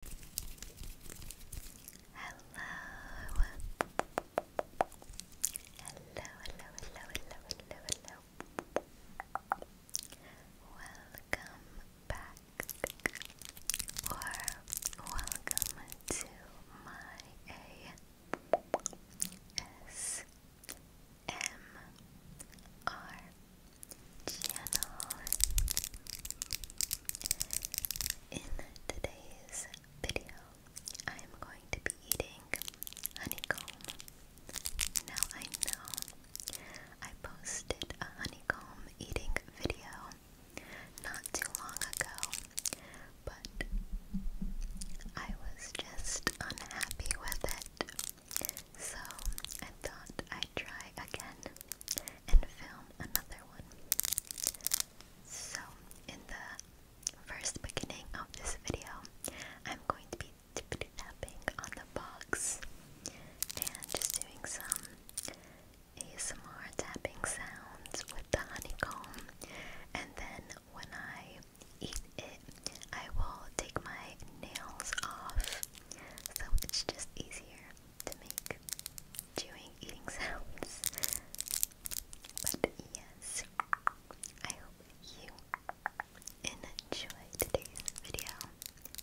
Hello. Hello, hello, hello, hello, hello, hello. Welcome back or welcome to my ASMR in today's video, I am going to be eating honeycomb. Now I know I posted a honeycomb eating video not too long ago, but I was just unhappy with it. So I thought I'd try again and film another one. So, in the first beginning of this video, I'm going to be tippity tapping on the box and just doing some ASMR tapping sounds with the honeycomb. And then when I eat it, I will take my nails off so it's just easier to make chewing, eating sounds. But yes, I hope you enjoyed today's video.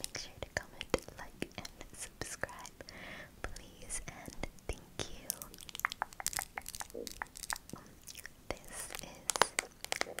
Make sure to comment, like, and subscribe, please, and thank you. This is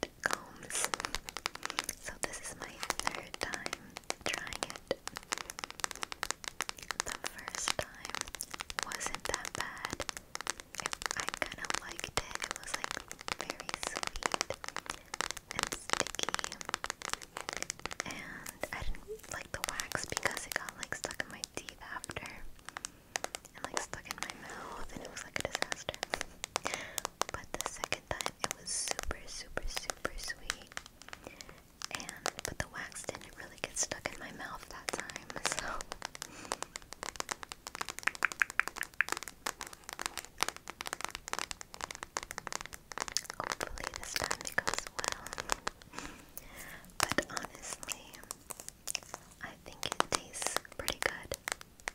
different combs. So this is my third time trying it. The first time wasn't that bad. It, I kind of liked it. It was like very sweet and sticky. And I didn't like the wax because it got like stuck in my teeth after. And like stuck in my mouth, and it was like a disaster. But the second time it was super, super, super sweet. And but the wax didn't really get stuck in my mouth that time, so hopefully this time it goes well. but honestly, I think it tastes pretty good.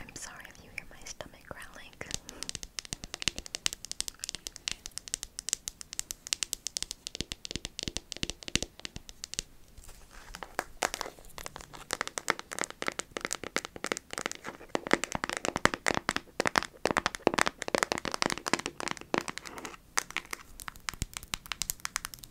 I'm sorry if you hear my stomach growling.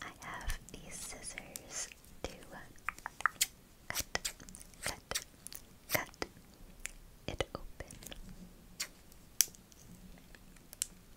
I have these scissors to cut, cut, cut it open.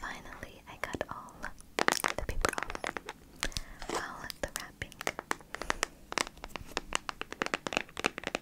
Finally, I got all the paper off, all the wrapping.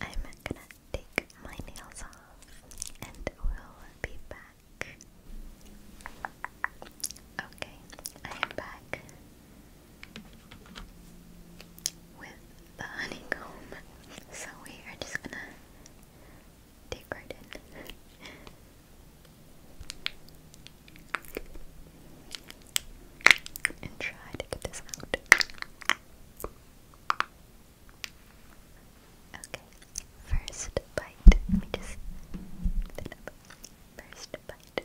I'm gonna take my nails off and we'll be back. Okay, I am back with the honeycomb. So we are just gonna dig right in. And try to get this out. Okay, first bite. Let me just First bite.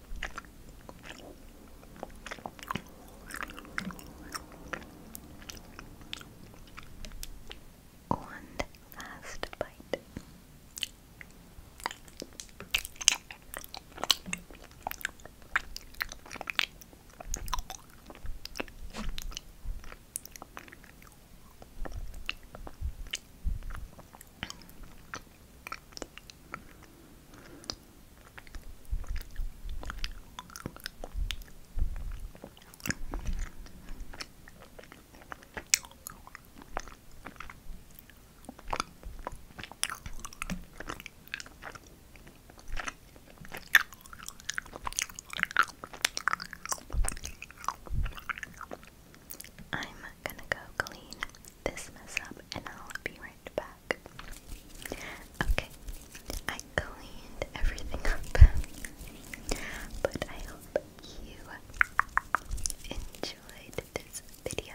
One last bite. I'm gonna go clean this mess up and I'll be right back. Okay, I cleaned everything up, but I hope you enjoyed this video.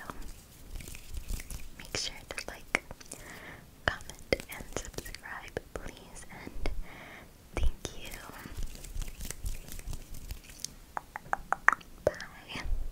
Make sure to like, comment, and subscribe, please, and thank you. Bye.